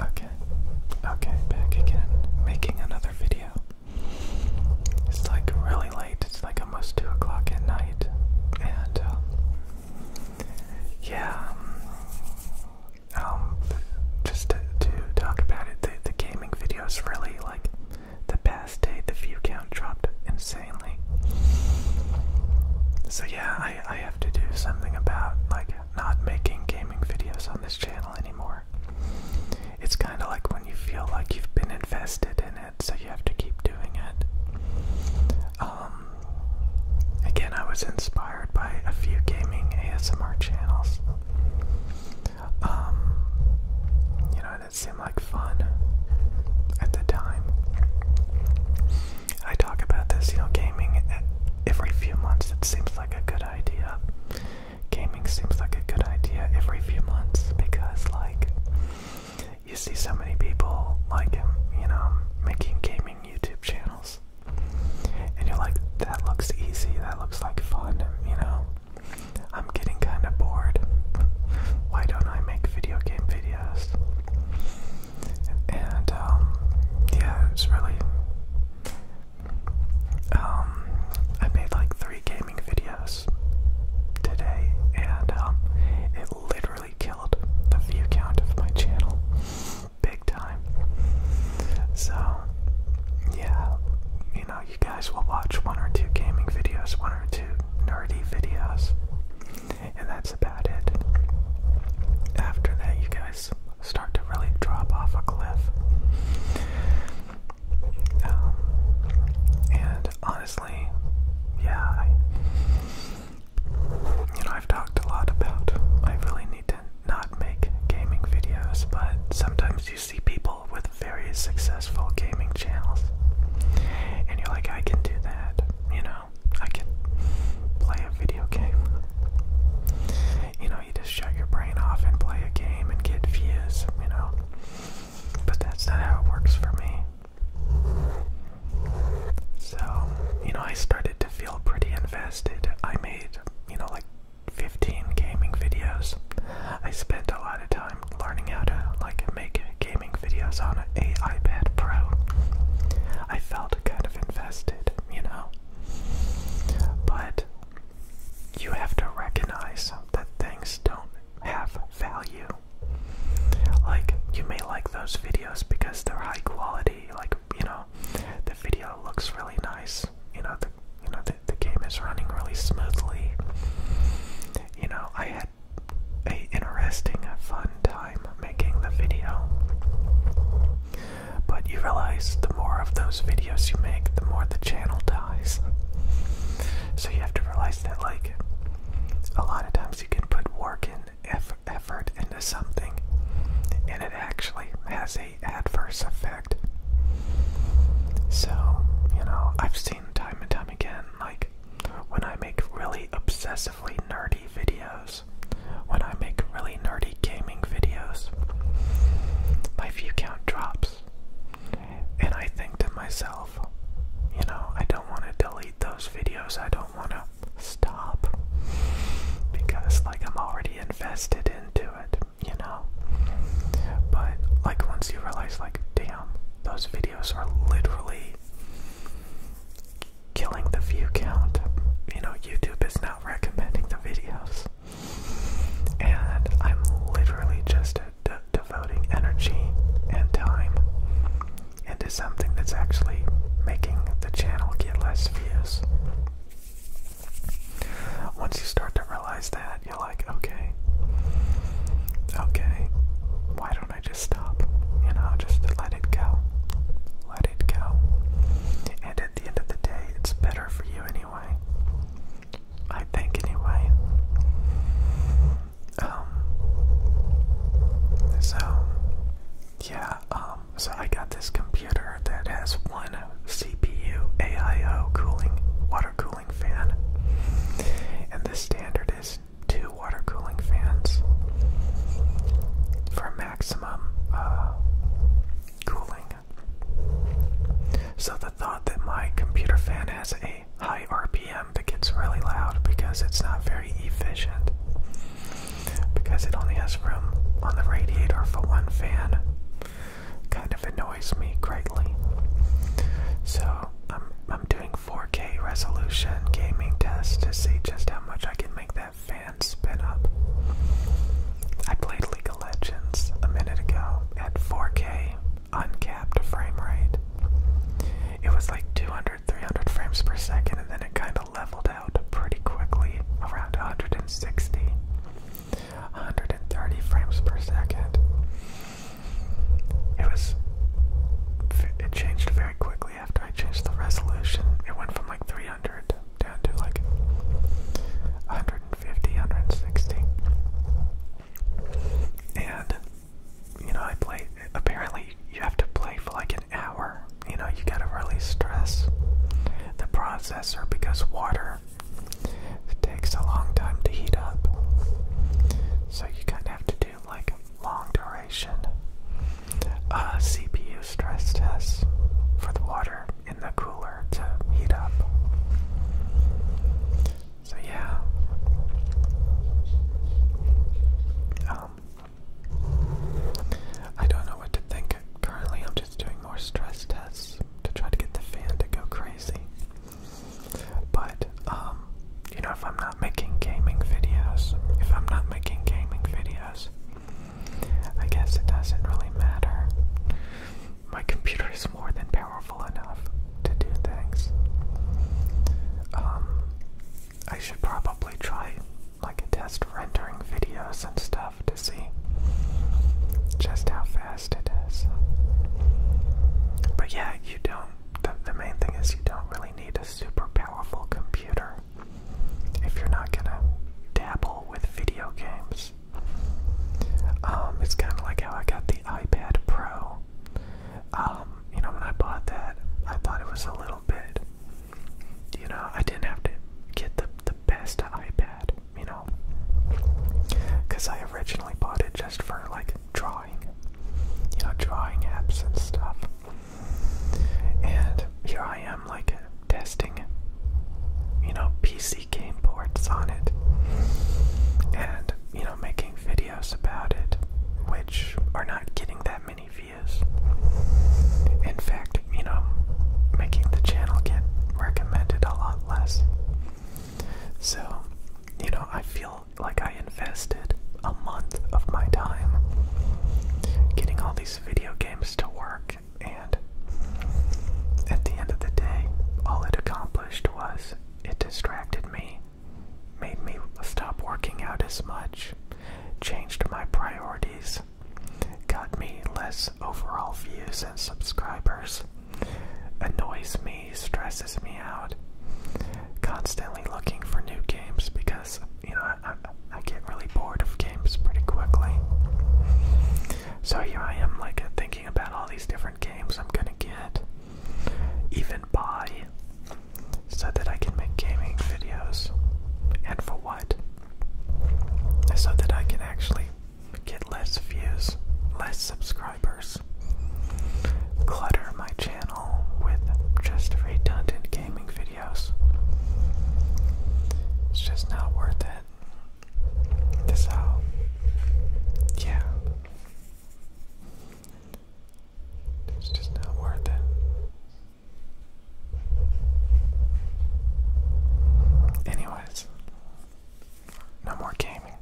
Okay, okay, back again, making another video. It's like really late, it's like almost 2 o'clock at night, and uh, yeah, um, um, just to, talk about it, the, gaming video really like the past day, the view count dropped insanely. So yeah, I, I have to do something about like not making gaming videos on this channel anymore. It's kind of like when you feel like you've been invested in it, so you have to keep doing it. Um, again, I was inspired by a few gaming ASMR channels. Um, you know, it seemed like fun at the time. I talk about this, you know, gaming every few months. It seems like a good idea. Gaming seems like a good idea every few months because, like, you see so many people, like, you know, making gaming YouTube channels. And you're like, that looks easy, that looks like fun, you know? I'm getting kind of bored. Why don't I make video game videos? and um, yeah, it's really. Um, I made like three gaming videos today, and um, it literally killed the view count of my channel, big time. So, yeah, you know, you guys will watch one or two gaming videos, one or two nerdy videos and that's about it. After that, you guys start to really drop off a cliff. Um, and honestly, yeah, you know, I've talked a lot about I really need to not make gaming videos, but sometimes you see people with very successful gaming channels, and you're like, I can do that, you know, I can play a video game. You know, you just shut your brain off and play a game and get views, you know. But that's not how it works for me. So, you know, I started to feel pretty invested. I made, you know, like 15 gaming videos. I spent a lot of time learning how to like make gaming videos on a iPad Pro. I felt kind of invested, you know? But you have to recognize that things don't have value. Like, you may like those videos because they're high quality, like, you know, the video looks really nice, you know, the, you know, the, game is running really smoothly. You know, I had a interesting, uh, fun time making the video. But you realize the more of those videos you make, the more the channel dies. So you have to realize that, like, a lot of times you can put work and effort into something, and it actually has a adverse effect. So, you know, I've seen time and time again, like, when I make really obsessive nerdy videos, when I make really nerdy gaming videos, my view count drops. And I think to myself, you know, I don't want to delete those videos, I don't want to stop. Because, like, I'm already invested into it, you know? But, like, once you realize, like, damn, those videos are literally killing the view count. You know, YouTube is not recommending the videos. And I'm literally just de devoting energy and time into something that's actually making the channel get less views. Once you start to realize that, you're like, okay, okay, why don't I just stop, and I'll just let it go. Let it go. And at the end of the day, it's better for you anyway. I think, anyway. Um, so, yeah, um, so I got this computer that has one CPU AIO cooling, water cooling fan. And the standard is two water cooling fans for maximum uh, cooling. So the thought that my computer fan has a high RPM that gets really loud because it's not very efficient because it only has room on the radiator for one fan kind of annoys me greatly. So I'm I'm doing 4K resolution gaming test to see just how much I can make that fan spin up. I played League of Legends a minute ago at 4K uncapped frame rate. It was like 200 300 frames per second, and then it kind of leveled out pretty quickly around 160, 130 frames per second. It was, it changed very quickly after I changed the resolution, it went from like 300 down to like 150, 160. And, you know, I played, apparently, you have to play for like an hour. You know, you gotta really stress the processor because water takes a long time to heat up. So you kind of have to do like long duration uh, CPU stress tests for the water in the cooler to heat up. So, yeah. Um, I don't know what to think. Currently, I'm just doing more stress tests to try to get the fan to go crazy. But um, you know, if I'm not making gaming videos, if I'm not making gaming videos, I guess it doesn't really matter. My computer is more than powerful enough to do things. Um, I should probably try like a test rendering videos and stuff to see just how fast it is. But yeah, you don't. the main thing is you don't really really need a super powerful computer if you're not gonna dabble with video games. Um, it's kind of like how I got the iPad Pro. Um, you know, when I bought that, I thought it was a little bit, you know, I didn't have to get the, the best iPad, you know, because I originally bought it just for like drawing, you know, drawing apps and stuff. And here I am, like, testing, you know, PC game ports on it. And, you know, making videos about it, which are not getting that many views. In fact, you know, making the channel get recommended a lot less. So, you know, I feel like I invested a month of my time getting all these video games to work, and at the end of the day, all it accomplished was it distracted me, made me stop working out as much, changed my priorities, got me less overall views and subscribers, annoys me he stresses me out. Constantly looking for new games because you know I, I get really bored of games pretty quickly. So here I am, like thinking about all these different games I'm gonna get, even buy, so that I can make gaming videos. And for what? So that I can actually get less views, less subscribers clutter my channel with just redundant gaming videos. It's just not worth it. This yeah. It's just not worth it. Anyways, no more gaming.